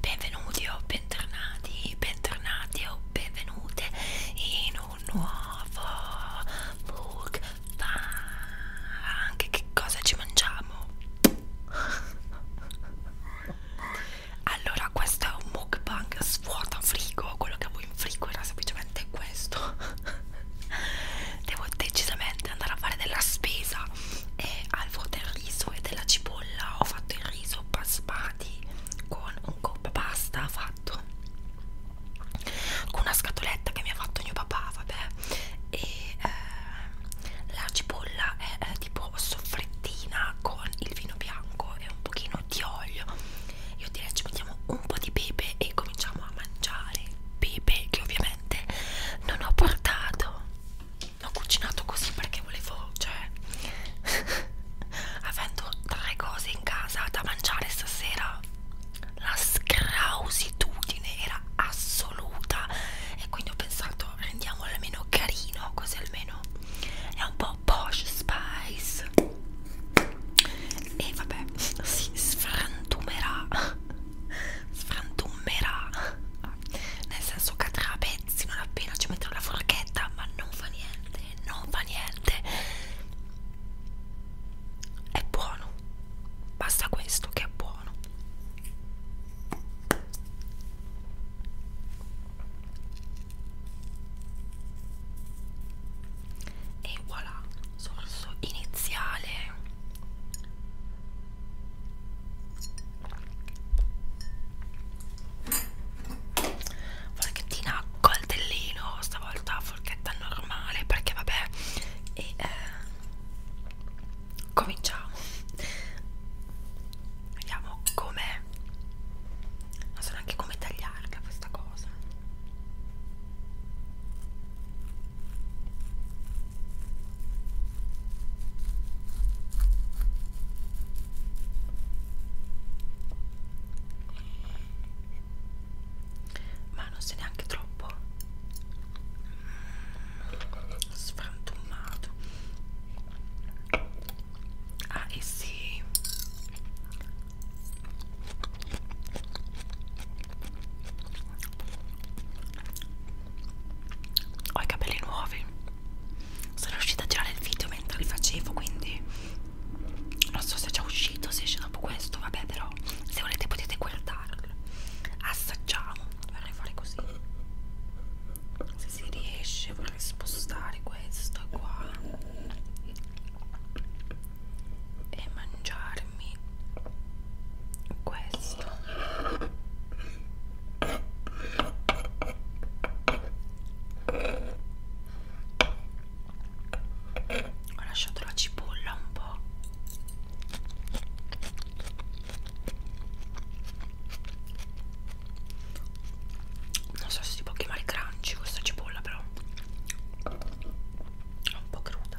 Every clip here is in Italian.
Benvenuti o bentornati, bentornati o benvenute in un nuovo mukbang. Che cosa ci mangiamo? Allora, questo è un mukbang svuota frigo. Quello che avevo in frigo era semplicemente questo. Devo decisamente andare a fare della spesa e al vuoto del riso e della cipolla ho fatto il riso basmati con un coppa pasta fatto con una scatoletta che mi ha fatto mio papà vabbè e eh, la cipolla è eh, tipo soffrettina con il vino bianco e un pochino di olio io direi ci mettiamo un po' di pepe e cominciamo a mangiare pepe che ovviamente non ho portato l'ho cucinato così perché volevo, cioè, avendo tre cose in casa da mangiare stasera, la scrausitudine era assoluta e quindi ho pensato rendiamolo almeno carino, così almeno è un po' posh spice e vabbè si sfrantumerà sfrantumerà ah, nel senso cadrà a pezzi non appena ci metterò la forchetta ma non fa niente non fa niente è buono basta questo che è buono e voilà sorso iniziale forchettina a coltellino stavolta forchetta normale perché vabbè e eh, cominciamo vediamo come non so neanche come tagliarla questa cosa ma non sei neanche troppo sfantumato ah e eh sì ho i capelli nuovi sono riuscita a girare il video mentre li facevo quindi non so se è già uscito se esce dopo questo vabbè però se volete potete guardarlo assaggiamo vorrei fare così se si riesce vorrei spostare questo qua e mangiarmi questo ho lasciato la cipolla un po' non so se si può chiamare crunchy questa cipolla però è un po' cruda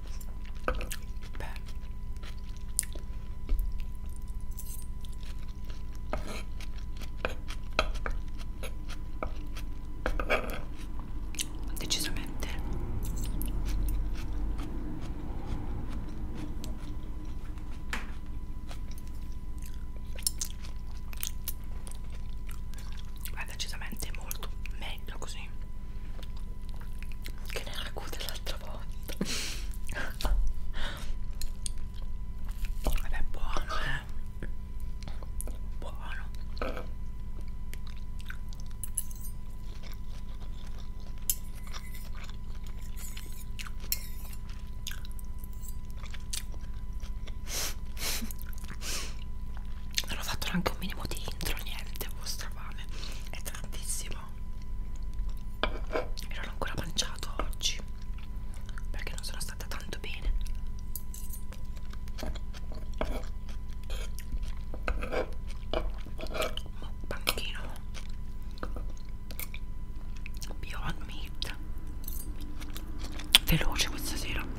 Beh. Decisamente È decisamente molto meglio meglio così che nel ragù dell'altra volta vabbè buono eh buono non ho fatto neanche un minimo di intro niente ho strafame è tantissimo e non ho ancora mangiato oggi perché non sono stata tanto bene panchino beyond meat veloce questa sera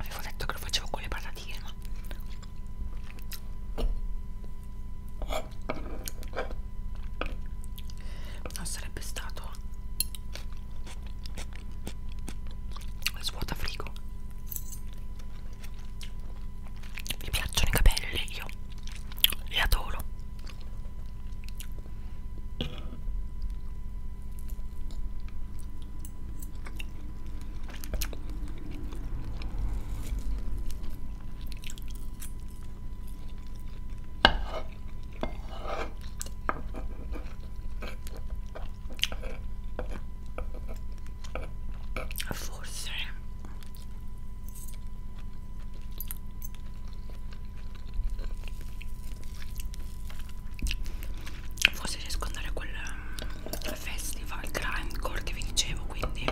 Avevo detto che lo facevo con le patatine, ma non sarebbe stato svuota frigo mi piacciono i capelli io li adoro Forse Forse riesco ad andare a quel mm, festival grindcore che vi dicevo quindi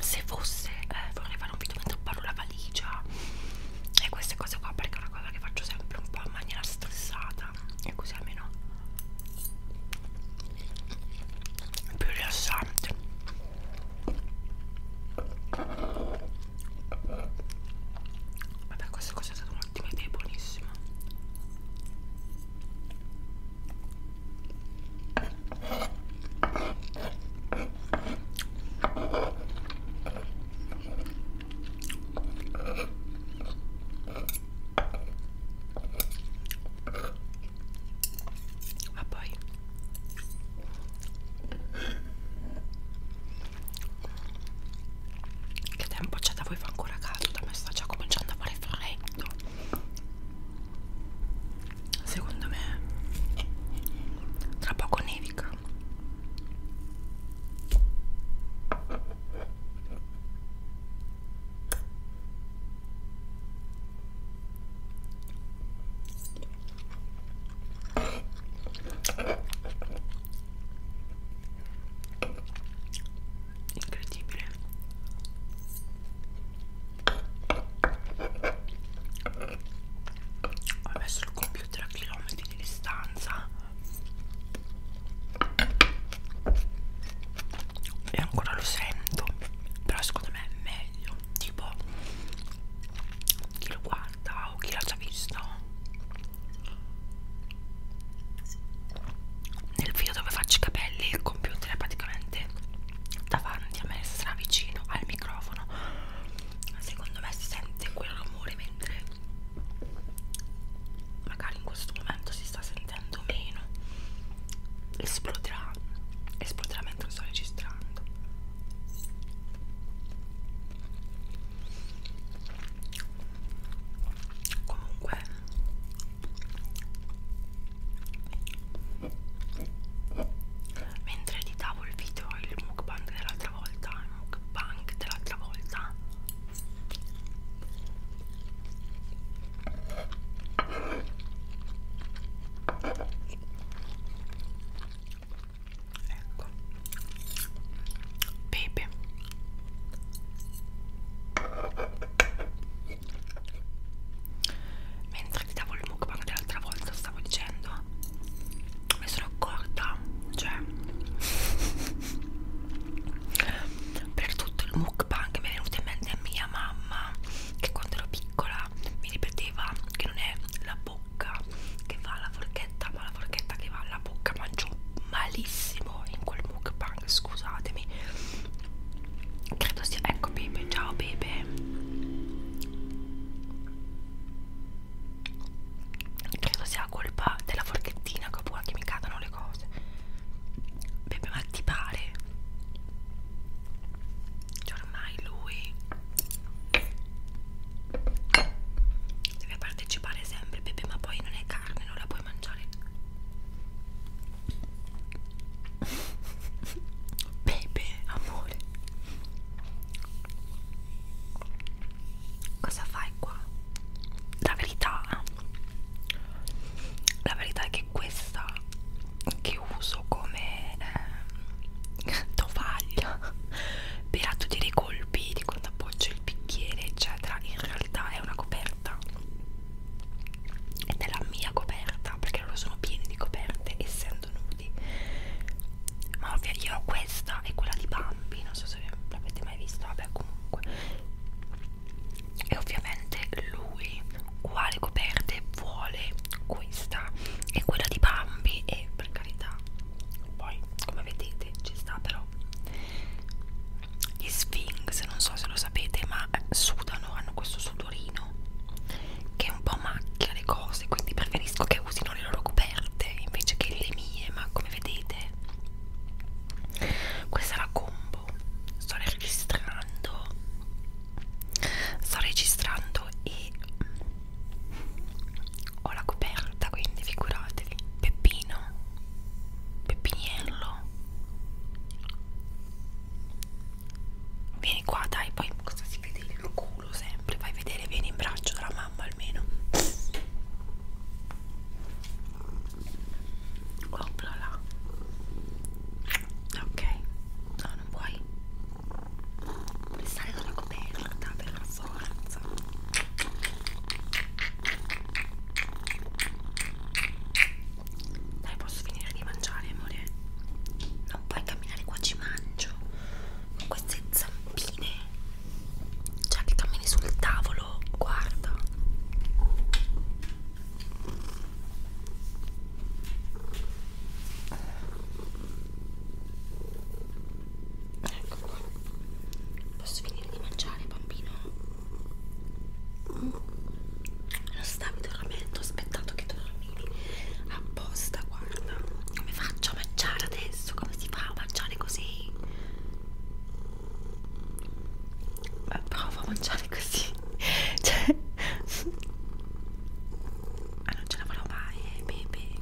se fosse eh, vorrei fare un video mentre parlo la valigia e queste cose qua perché è una cosa che faccio sempre un po' in maniera stressata e così almeno è più rilassante vabbè questa cosa è stata un'ottima idea buonissima ma poi che tempo c'è da voi fa ancora caldo, da me sta già cominciando a fare freddo secondo me tra poco nevica incredibile ho messo il computer a chilometri di distanza e ancora lo sento però secondo me è meglio tipo chi lo guarda o chi l'ha già visto nel video dove faccio i capelli il computer è praticamente davanti a me stra vicino al microfono secondo me si sente quel rumore mentre magari in questo momento si sta sentendo meno esploderà esploderà mentre lo sto registrando comunque mentre editavo il video il mukbang dell'altra volta il mukbang dell'altra volta ecco pepe mentre ti davo il mukbang dell'altra volta stavo dicendo mi sono accorta cioè per tutto il mukbang mi è venuta in mente mia mamma che quando ero piccola mi ripeteva che non è la bocca che va alla forchetta ma la forchetta che va alla bocca mangio malissimo in quel mukbang scusatemi credo sia ecco Bebe ciao Bebe credo sia colpa della forchettina che ho paura che mi cadano le cose Bebe ma ti pare cioè ormai lui deve partecipare sempre Bebe ma poi non è carne non la puoi mangiare Pepe, amore Cosa fai qua? La verità La verità è che questa Che uso come eh, Tovaglia Per attutire i colpi Di quando appoggio il bicchiere eccetera In realtà è una coperta e della mia coperta perché loro sono pieni di coperte essendo nudi ma ovvio io ho questa e quella di Bambi non so se l'avete mai vista vabbè comunque e ovviamente lui quale coperte vuole questa e quella di Bambi e per carità poi come vedete ci sta però gli Sphinx non so se lo sapete ma sudano hanno questo sudorino che un po' macchia le cose quindi preferisco che usino le loro coperte invece che le mie ma come vedete questa è la combo sto registrando sto registrando e mm, ho la coperta quindi figuratevi Peppino Peppiniello Vieni qua, dai, poi cosa si vede il culo sempre? Vai a vedere, vieni in braccio dalla mamma almeno. Opla là. Ok, no, non puoi. Puoi stare con la coperta per la forza. Dai, posso finire di mangiare, amore? non puoi camminare qua ci mangio con queste zampine cioè che cammini sul tavolo guarda ecco qua posso finire di mangiare bambino mm. lo stavi dormendo ho aspettato che dormivi a ah, apposta, guarda. Come faccio a mangiare adesso? Come si fa a mangiare così? Beh, provo a mangiare così. Cioè... Ah, non ce la farò mai, eh, baby.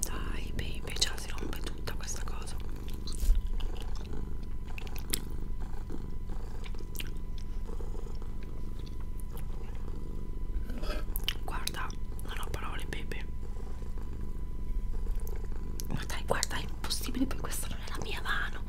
Dai baby, già si rompe tutta questa cosa Guarda, non ho parole baby Ma dai, guarda, è impossibile, perché questa non è la mia mano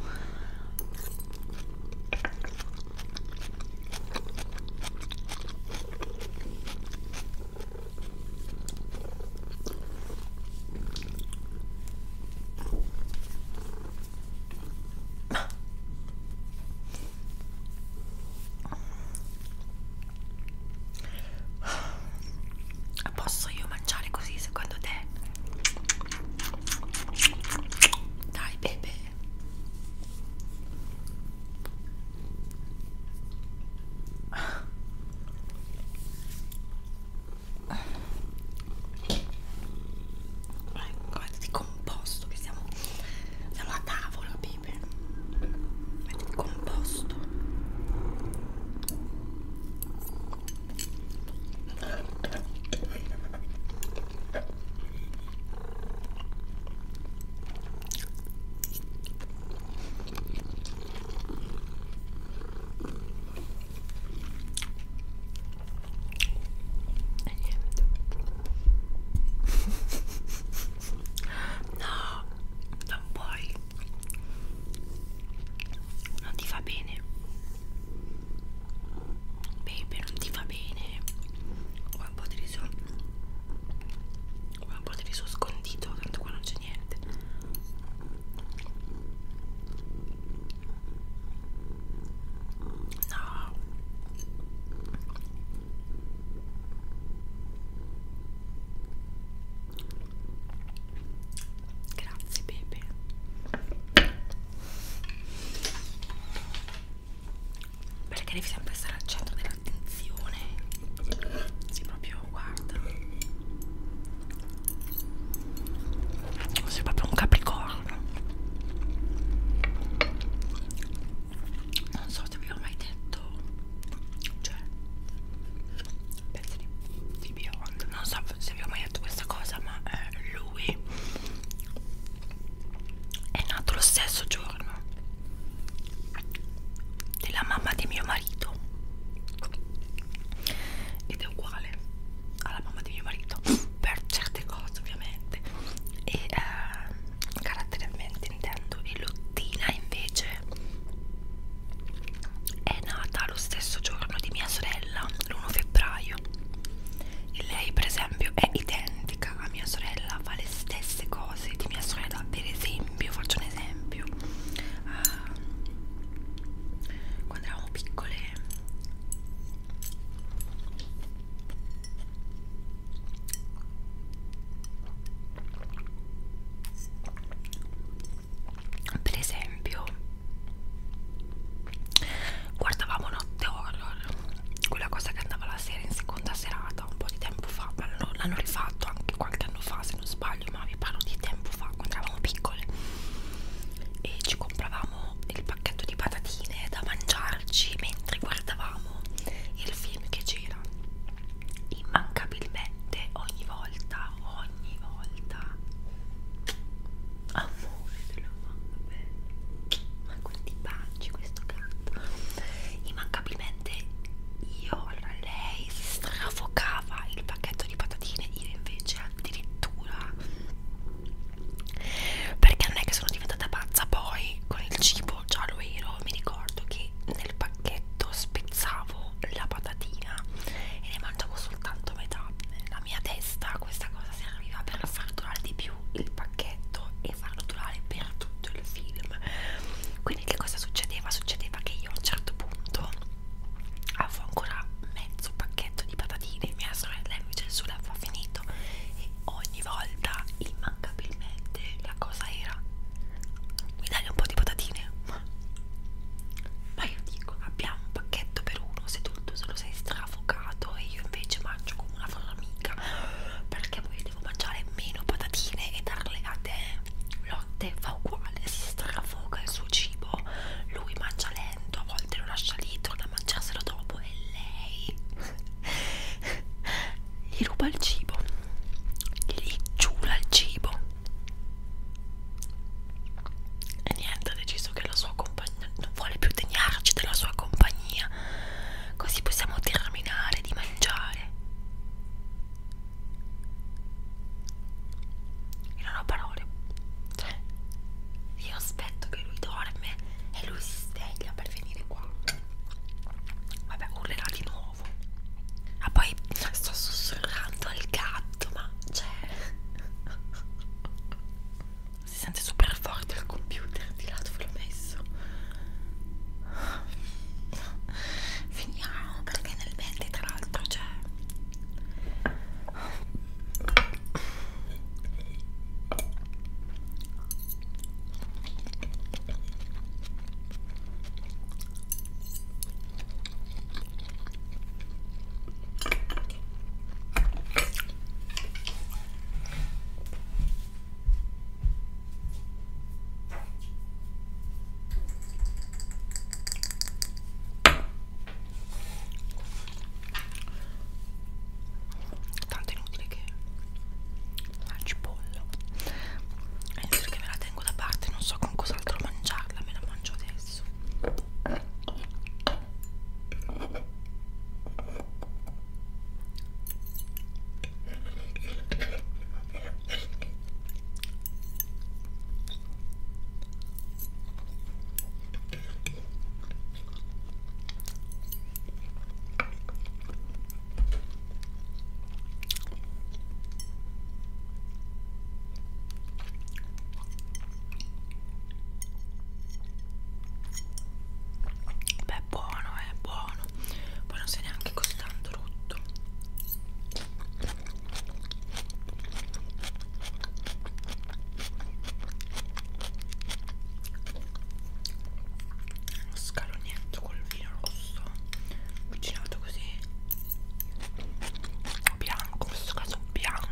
Posso io mangiare così secondo te? Dai, bebe. Ecco, mettiti composto che siamo, siamo a tavola, Pepe. Mettiti composto è e niente no non puoi non ti fa bene baby non ti fa bene qua un po' di riso qua un po' di riso scondito tanto qua non c'è niente no grazie Pepe perché devi sempre stare al centro dell'attenzione si proprio guarda sei proprio un capricorno non so se vi ho mai detto cioè pezzi di, di biondo non so se vi ho mai detto questa cosa ma eh, lui è nato lo stesso giorno della mamma di mio marito ed è uguale alla mamma di mio marito per certe cose ovviamente e eh, caratterialmente intendo e Lottina invece è nata lo stesso giorno di mia sorella l'1 febbraio e lei per esempio è identica a mia sorella vale le stesse cose di mia sorella per esempio faccio un esempio uh, quando eravamo piccole per esempio guardavamo notte horror quella cosa che andava la sera in seconda serata puntata un po' di tempo fa, l'hanno rifatto anche qualche anno fa se non sbaglio, ma vi parlo di tempo fa, quando eravamo piccole e ci compravamo il pacchetto di patatine da mangiarci mentre guardavamo il film che c'era immancabilmente ogni volta, ogni volta amore della mamma bella ma quanti baci questo gatto immancabilmente veramente io, allora lei si strafocava il pacchetto di patatine, io invece addirittura perché non è che sono diventata pazza poi con il cibo, già lo ero, mi ricordo che nel pacchetto spezzavo la patatina e ne mangiavo soltanto metà, nella mia testa questa cosa serviva per far durare di più il pacchetto pacchetto e farlo durare per tutto il film quindi che cosa succedeva? succedeva che io a un certo punto avevo ancora mezzo pacchetto di patatine mia sorella invece il suo l'aveva finito e ogni volta immancabilmente la cosa era mi dai un po' di patatine? ma io dico abbiamo un pacchetto per uno se tu se lo sei strafocato e io invece mangio come una formica perché voglio devo mangiare meno patatine e darle a te Lotte fa uguale, si strafoga il suo cibo lui mangia lento, a volte lo lascia lì, torna a mangiarselo dopo e lei gli ruba il cibo gli giura il cibo e niente ha deciso che la sua compagna non vuole più degnarci della sua compagnia così possiamo terminare di mangiare. Io non ho parole. Cioè, io aspetto che lui dorme e lui si sveglia per venire qua. Vabbè, urlerà di nuovo. Ma ah, poi sto sussurrando al gatto, ma cioè. Si sente super forte il computer di lato ve l'ho messo finiamo perché nel 20 tra l'altro c'è tanto inutile che la cipolla è inutile che me la tengo da parte non so con cos'altro mangiarla me la mangio adesso Beh, buono, è eh, buono. Poi non sei neanche così tanto rotto uno scalonetto col vino rosso cucinato così bianco in questo caso bianco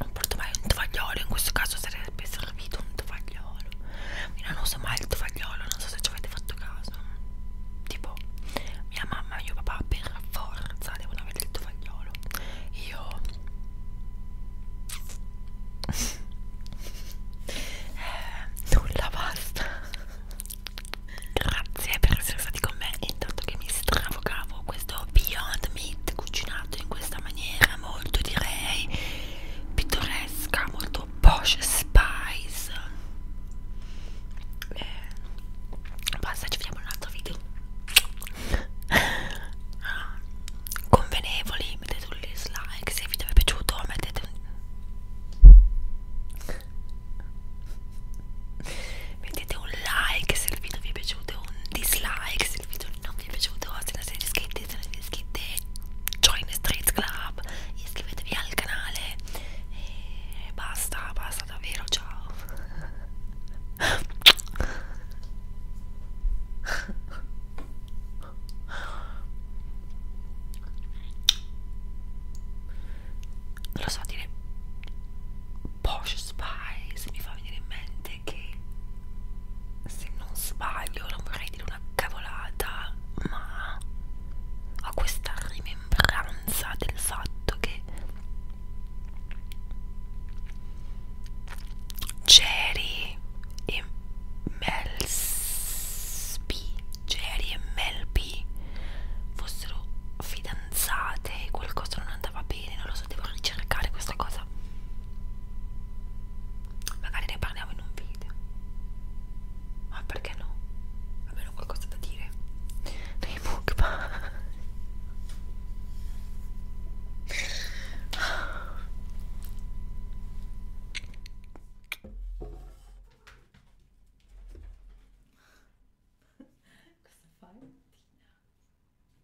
non porto mai un tovagliolo in questo caso sarebbe servito un tovagliolo io non uso mai il tovagliolo non so se ci avete fatto caso tipo mia mamma e mio papà per forza devono avere il tovagliolo io eh, nulla basta grazie per essere stati con me intanto che mi stravocavo nuovo questo Beyond Meat cucinato in questa maniera molto direi pittoresca, molto posh spice eh, basta ci vediamo in un altro video convenevoli mettete un dislike se il video vi è piaciuto mettete un mettete un like se il video vi è piaciuto un dislike se il video non vi è piaciuto, se non siete iscritti, se non siete iscritti join the Street Club, iscrivetevi al canale e basta, basta davvero, ciao non lo so dire Posh Spice mi fa venire in mente gente che se non sbaglio non vorrei dire una cavolata ma ho questa rimembranza del fatto che Jerry e Melby Jerry e Melby fossero fidanzate qualcosa non andava bene, non lo so, devo ricercare questa cosa. Magari ne parliamo in un video. Ma perché no? Almeno qualcosa da dire. Nei mukbang. Cosa fai?